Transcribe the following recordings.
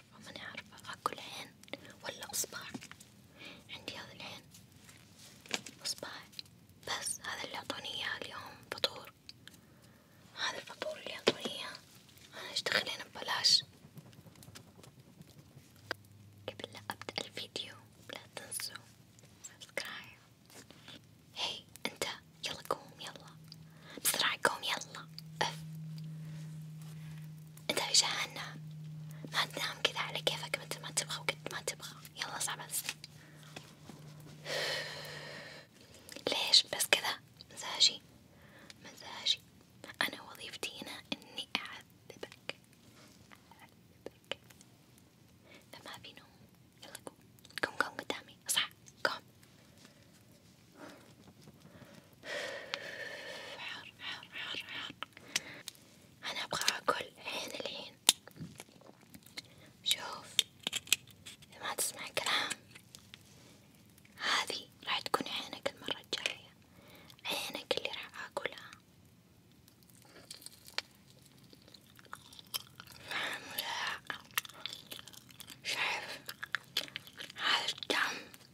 عارفة ماني عارفة أكل عين ولا إصبع عندي هذا العين إصبع بس هذا اللي أعطوني إياه اليوم فطور هذا الفطور اللي أعطوني إياه أنا إيش دخلين ببلاش قبل لا أبدأ الفيديو لا تنسوا سبسكرايب هي أنت يلا قوم يلا بسرعة قوم يلا أف انت في جهنم ما تنام كذا على كيفك متى ما تبغى وقت ما تبغى يلا صعب بس ليش بس كذا مزاجي مزاجي أنا وظيفتي هنا إني أعذبك أعذبك فما في نوم يلا قوم قوم قوم قدامي اصحى قوم حار حار حار حار أنا أبغى أكل الحين الحين شوف إذا ما تسمع كلام هذي راح تكون عينك المرة الجاية عينك اللي راح أكلها فاهم ولا شايف هذا الدم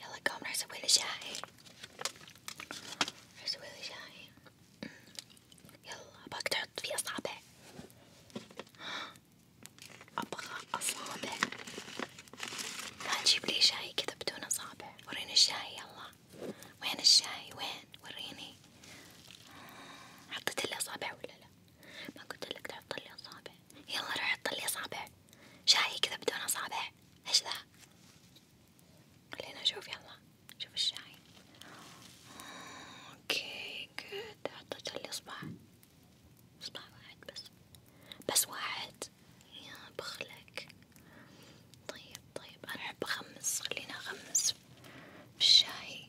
يلا قوم راح اسوي لي شاي راح اسوي لي شاي يلا باك تحط فيه اصابع ابغى اصابع ما تجيب لي شاي كذا بدون اصابع وريني الشاي يلا وين الشاي وين وريني حطيت لي اصابع ولا لا ما قلت لك تحط لي اصابع يلا روح حطلي أصابع شاي كذا بدون أصابع إيش ذا؟ خلينا نشوف يلا شوف الشاي اوكي جود حطيت لي اصبع اصبع واحد بس بس واحد يا بخلك طيب طيب انا احب اخمس خلينا اخمس في الشاي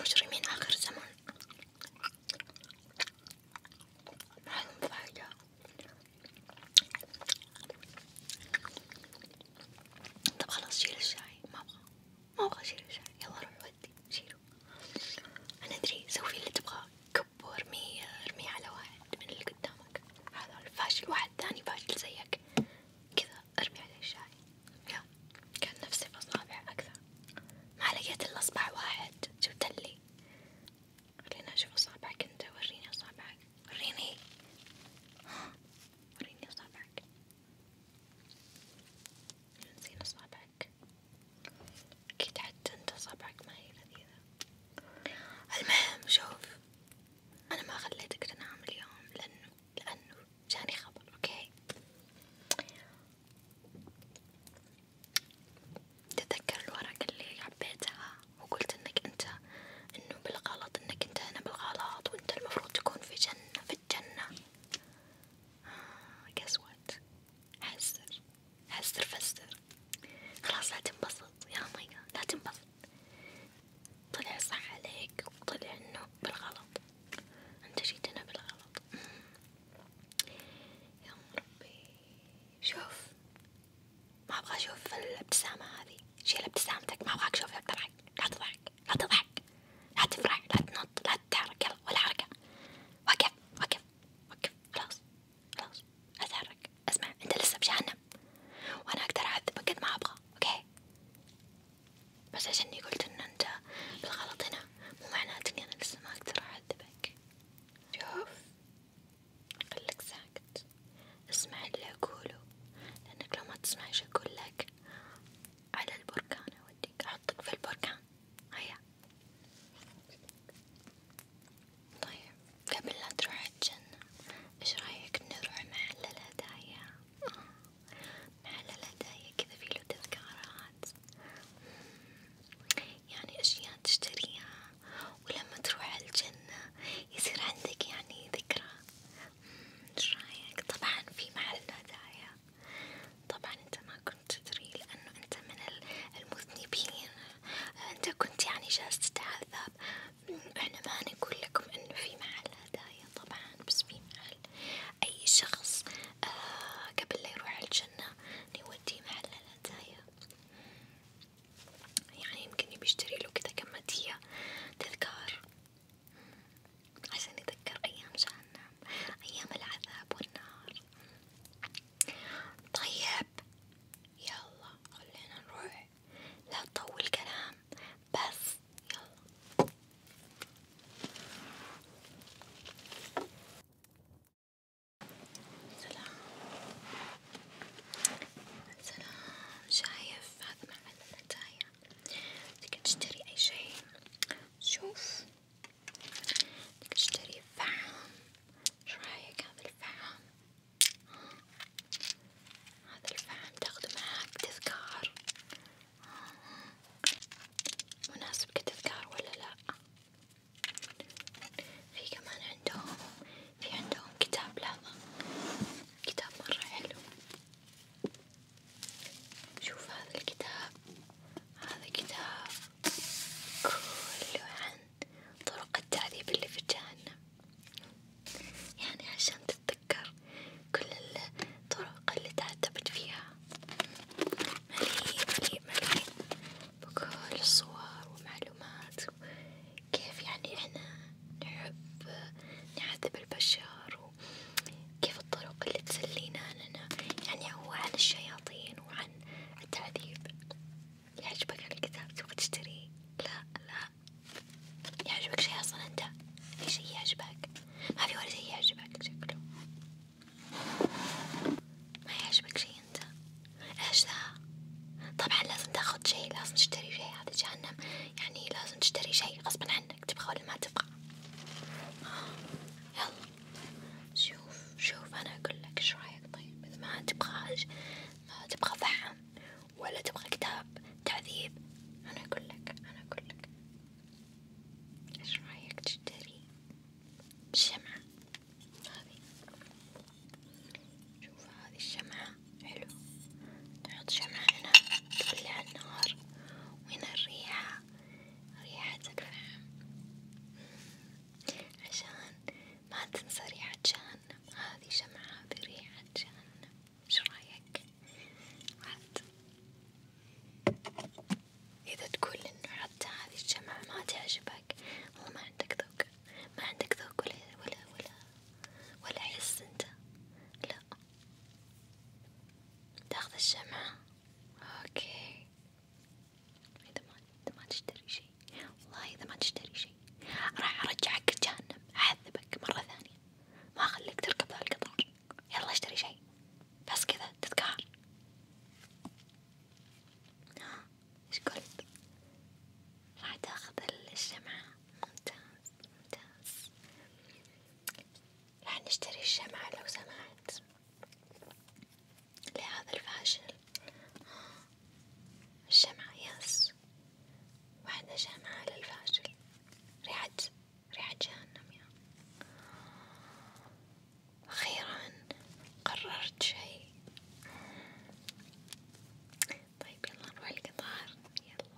مجرمين آخر زمان ما لهم فايدة طب خلاص شيل الشاي ما أبغى ما أبغى أشيل الشعر يلا روح ودي شيله أنا أدري سوي اللي تبغاه كب وارميه ارميه على واحد من اللي قدامك هذا الفاشل واحد ثاني فاشل زيك كذا ارمي عليه الشاي يا كان نفسي بأصابع أكثر ما لقيت إلا أصبع واحد جبتلي خليني أشوف أصابعك أنت وريني أصابعك وريني وريني أصابعك نسينا أصابعك صبعك أكيد حتى أنت صبعك ما هي لذيذة المهم شوف أنا ما خليتك تنام اليوم لأنه لأنه جاني خبر أوكي تذكر الورقة اللي حبيتها وقلت إنك أنت إنه بالغلط إنك أنت هنا بالغلط وأنت المفروض تكون في جنة في الجنة آه، guess what صوت حسر حسر فسر خلاص لا تنبسط يا ماي لا تنبسط طلع صح عليك وطلع انه بالغلط انت جيت هنا بالغلط يا ربي شوف ما ابغى اشوف الابتسامة هذي شيل ابتسامتك ما ابغاك اشوفها بتضحك لا تضحك لا تضحك لا تفرح لا تنط لا تتحرك يلا ولا حركة وقف وقف وقف خلاص خلاص اتحرك اسمع انت لسه بجهنم وانا اقدر اعذبك قد ما ابغى اوكي بس عشان اني قلت ان انت بالغلط هنا مو معناته اني انا لسه ما اقدر اعذبك شوف خليك ساكت اسمع اللي اقوله لانك لو ما تسمعش اقول لك على البركان أوديك أحطك في البركان هيا طيب قبل لا تروح الجنة ايش رايك نروح محل الهدايا آه. محل الهدايا كذا فيه له تذكارات يعني اشياء تشتريها ولما تروح الجنة يصير عندك يعني ذكرى ايش رايك طبعا في محل الهدايا طبعا انت ما كنت تدري لانه انت من المذنبين انت كنت يعني جالس تتعذب احنا ما نقول لكم انه في محل هدايا طبعا بس في محل اي شخص آه قبل لا يروح الجنة نوديه محل الهدايا يعني يمكن بيشتري له كذا كم هدية تذكار عشان يتذكر ايام جهنم أيام العذاب والنار طيب يلا خلينا نروح لا تطول كلام بس يلا سلام سلام شايف هذا محل المتاية تقدر تشتري أي شيء شوف بدك تشتري فحم، شو رأيك هذا الفحم؟ هذا الفحم تاخده معاك تذكار، مناسب كتذكار ولا لأ؟ في كمان عندهم في عندهم كتاب لهذا كتاب مرة حلو شوف هذا الكتاب هذا كتاب كله عن طرق التعذيب اللي في جهنم يعني عشان تتذكر كل الطرق اللي تعذبت فيها مليء مليء مليء بكل الصور ومعلومات كيف يعني احنا نحب نعذب البشر كيف الطرق اللي تسلينا لنا يعني هو عن الشياطين وعن التعذيب يعجبك هالكتاب تبغى تشتريه؟ لا لا يعجبك شي أصلا أنت؟ في شي يعجبك؟ ما في ولا شي يعجبك شكله ما يعجبك شي أنت؟ إيش ذا؟ طبعا لازم تاخد شي لازم تشتري شي هذا جهنم يعني لازم تشتري شي غصبا عنك تبغى ولا ما تبغى آه. يلا شوف شوف أنا أقول لك إيش رأيك طيب إذا ما تبغى ما تبغى فحم ولا تبغى كتاب تعذيب أنا أقول لك أنا أقول لك إيش رأيك تشتري شمعة هذي شوف هذي الشمعة حلو تحط شمعة هنا تولع النار وهنا الريحة ريحتك نعم عشان ما تنسى ريحة جهنم هذه شمعة بريحة جهنم شو رايك؟ عاد إذا تقول إنه حتى هذه الشمعة ما تعجبك والله ما عندك ذوق ما عندك ذوق ولا ولا ولا ولا حس أنت لا تاخذ الشمعة اوكي إذا ما إذا ما تشتري شي والله إذا ما تشتري شي راح أرجعك جهنم أعذبك مرة ثانية ما أخليك تركب ذا القطار يلا اشتري شي بس كذا تتقهر ها إيش قلت؟ راح تاخذ الشمعة ممتاز ممتاز راح نشتري الشمعة لو سمحت لهذا الفاشل الشمعة يس واحدة شمعة للفاشل ريحة ريحة جهنم يا أخيرا قررت شيء طيب يلا نروح القطار يلا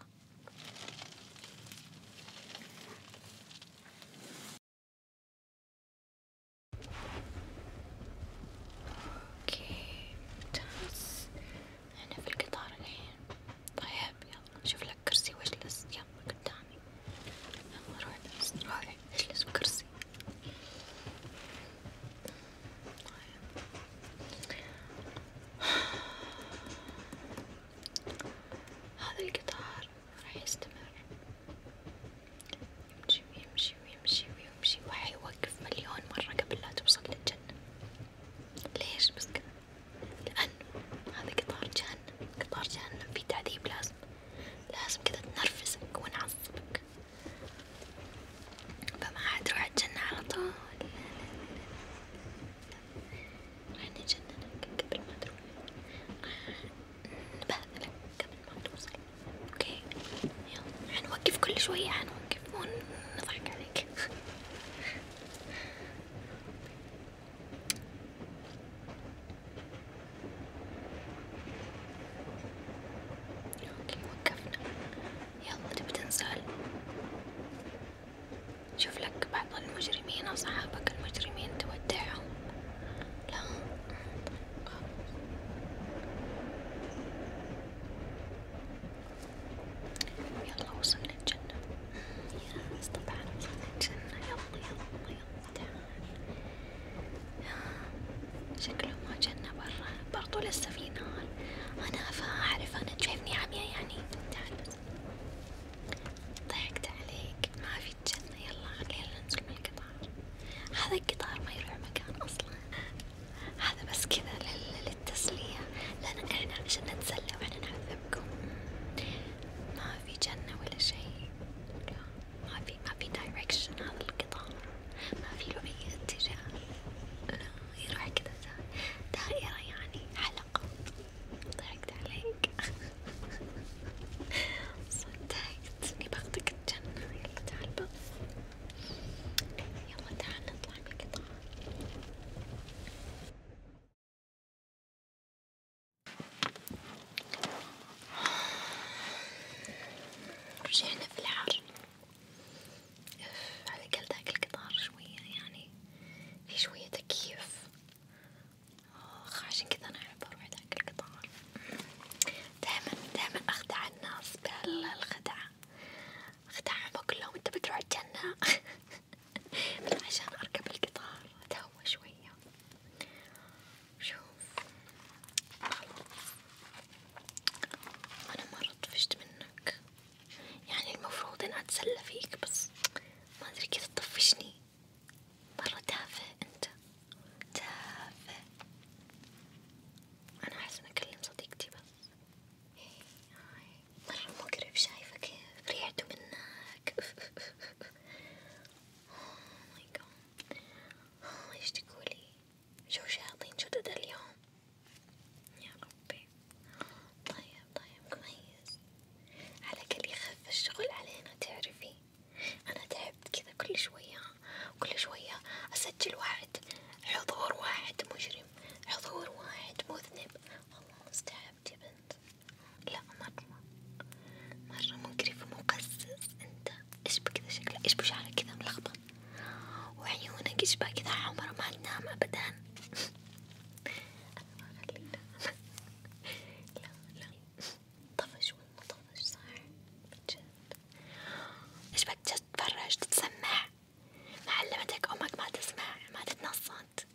اوكي ممتاز احنا في القطار الحين طيب يلا نشوف لك كرسي واجلس يلا قدامي يلا روح اجلس روح اجلس بكرسي طيب هذا القطار راح يستمر يمشي ويمشي ويمشي ويمشي وحيوقف مليون مرة قبل لا توصل للجنة ليش بس كذا؟ لأنه هذا قطار جهنم قطار جهنم في تعذيب لازم لازم كذا تنرفزك ونعصبك فما حتروح الجنة على طول راح نجننك قبل ما تروح نبهذلك قبل ما توصل اوكي يلا حنوقف كل شوية حنوقف ونضحك عليك اوكي وقفنا يلا تبي تنسال شوف لك بعض المجرمين أصحابك المجرمين تودعهم لا يلا وصلنا الجنة يا ناس طبعا وصلنا الجنة يلا يلا يلا تعال شكله ما جنة برا برضو لسه في نار أنا أعرف أنا شايفني عمياء يعني تعال بس ضحكت عليك ما في الجنة يلا خلينا ننزل من القطار هذا القطار ما يروح مكان أصلا هذا بس كذا للتسلية لأن إحنا عشان نتسلى وإحنا نعذبكم ما في جنة ولا شيء ما في ما في دايركشن هذا القطار ما في له أي اتجاه يروح كذا دائرة يعني حلقة ضحكت عليك صدقت اني باخدك الجنة يلا تعال بط يلا تعال نطلع بقطعة رجعنا في الحر على الأقل ذاك القطار شوية يعني في شوية تكييف آخ عشان كذا أنا أحب أروح ذاك القطار دايما دايما أخدع الناس بهالخدعة أخدعهم أقول لهم أنت بتروح الجنة عشان أركب القطار أتهوى شوية شوف خلاص أنا مرة طفشت منك يعني المفروض أن أتسلى فيك بس ما أدري كيف تطفشني مرة تافه انت تافه انا احس اني اكلم صديقتي بس مرة إيه، مقرف شايفة كيف ريحته منك اوه ماي جاد اوه ايش تقولي شو شاطين جدد اليوم يا ربي طيب طيب كويس على كل يخف الشغل علينا تعرفي يعني أنا تعبت كذا كل شوية كل شوية أسجل واحد حضور واحد مجرم حضور واحد مذنب والله مستعبت يا بنت لا مرة مرة مقرف ومقزز انت ايش بكذا شكلك ايش بشعرك كذا ملخبط وعيونك ايش كذا حمرة ما تنام ابدا انا ما لا لا طفش والله طفش صح بجد ايش بدك تتفرج تتسمع ما علمتك امك ما تسمع ما تتنصت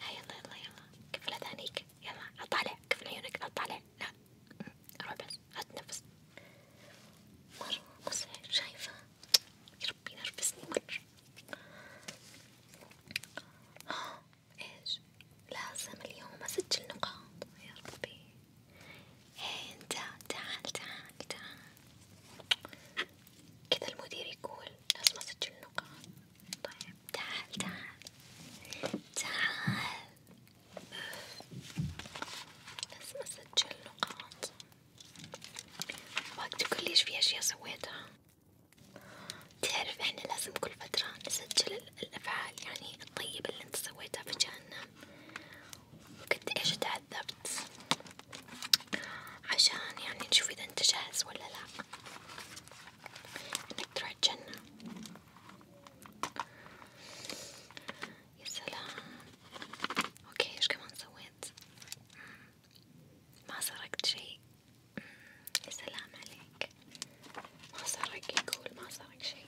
ها يلا يلا يلا كفل اذانيك يلا اطلع كفل عيونك اطلع لا روح بس هات نفس مرة مصعب شايفة يا ربي نرفزني مرة ايش لازم اليوم اسجل نقاط يا ربي هي إيه، انت تعال تعال تعال كذا المدير يقول لازم اسجل نقاط طيب تعال تعال تعال لازم اسجل نقاط ابغاك تقولي ايش في اشياء سويتها تعرف احنا لازم كل فترة نسجل الأفعال يعني الطيبة اللي انت سويتها في جهنم وقد ايش تعذبت عشان يعني نشوف اذا انت جاهز ولا لا انك تروح الجنة يا سلام اوكي ايش كمان سويت؟ ما سرقت شي سلام عليك ما صارك يقول ما صارك شي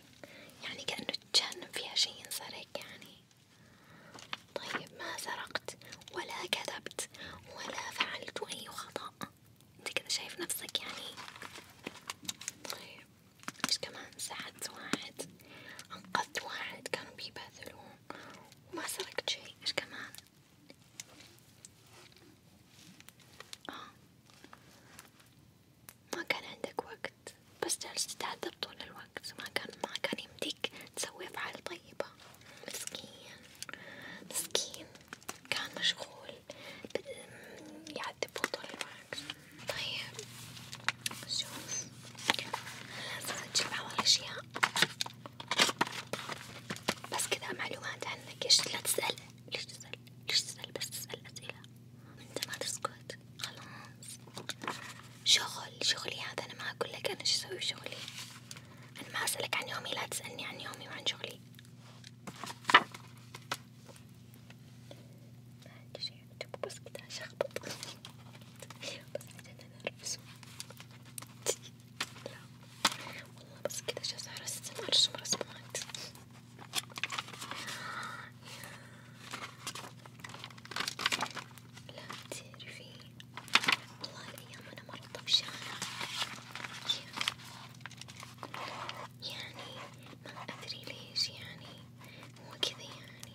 يعني كأنه تجنب فيها شي ينسرق يعني طيب ما سرقت ولا كذبت ولا فعلت أي خطأ انت كذا شايف نفسك يعني طيب ايش كمان ساعدت واحد انقذت واحد كانوا بيبهذلوه وما سرقت شي ايش كمان آه. ما كان عندك وقت بس جالس تتعذب طول الوقت ما كان ما كان يمديك تسوي أفعال طيبة مسكين مسكين كان مشغول يعذبه طول الوقت طيب شوف لازم تجيب أول أشياء بس كذا معلومات عنك إيش لا تسأل ليش تسأل ليش تسأل بس تسأل أسئلة أنت ما تسكت خلاص شغل شغلي هذا أنا ما أقول لك أنا شو أسوي شغلي أنا ما أسألك عن يومي لا تسألني عن يومي وعن شغلي ما عندي شي أكتب بس كده أشخبط بس عشان أنا أرفزه لا والله بس كده جالسة أرسم أرسم رسمات لا تعرفي والله الأيام أنا مرة طفشانة يعني ما أدري ليش يعني هو كذا يعني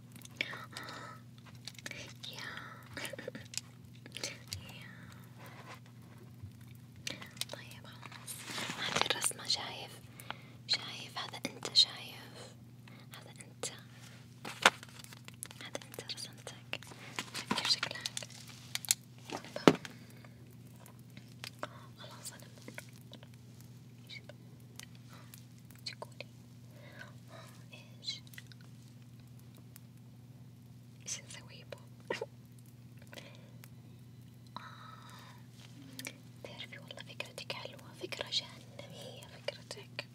yeah. yeah. طيب خلاص هذه الرسمة شايف شايف هذا انت شايف هذا انت هذا انت رسمتك كيف شكلك خلاص انا تقولي ايش ايش نسوي بو تعرفي والله فكرتك حلوة فكرة جهنمية فكرتك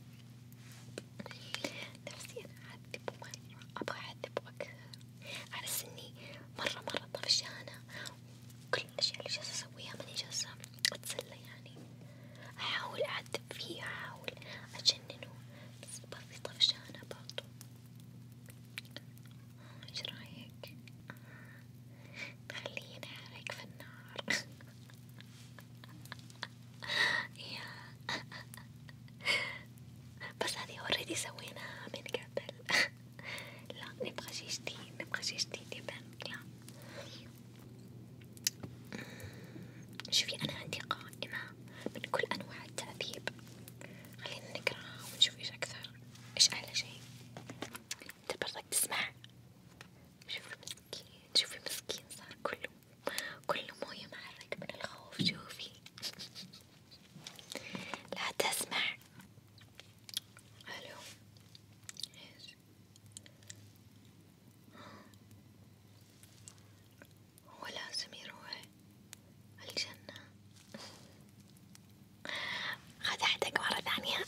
نفسي أنا أعذب مرة أبغى أعذب أكثر أحس إني مرة مرة طفشانة كل الأشياء اللي جالسة أسويها ماني جالسة أتسلى يعني أحاول أعذب فيه أحاول أجننه بس برضه طفشانة برضه إيش رأيك؟ خليه ينحرق في النار بس هذه اوريدي سويناها من قبل لا نبغى شي جديد نبغى شي جديد يبان لا شوفي أنا عندي قائمة من كل أنواع التعذيب، خلينا نقراها ونشوف إيش أكثر، إيش أعلى شي، أنت برضك تسمع، شوفي مسكين، شوفي مسكين صار كله كله موية معرق من الخوف، شوفي، لا تسمع، ألو، إيش؟ هو لازم يروح الجنة خدعتك مرة ثانية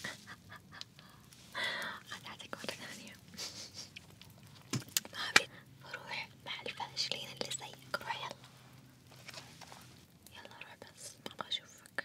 خدعتك مرة ثانية ما أبي روح مع الفاشلين اللي زيك روح يلا يلا روح بس ما أبغى أشوفك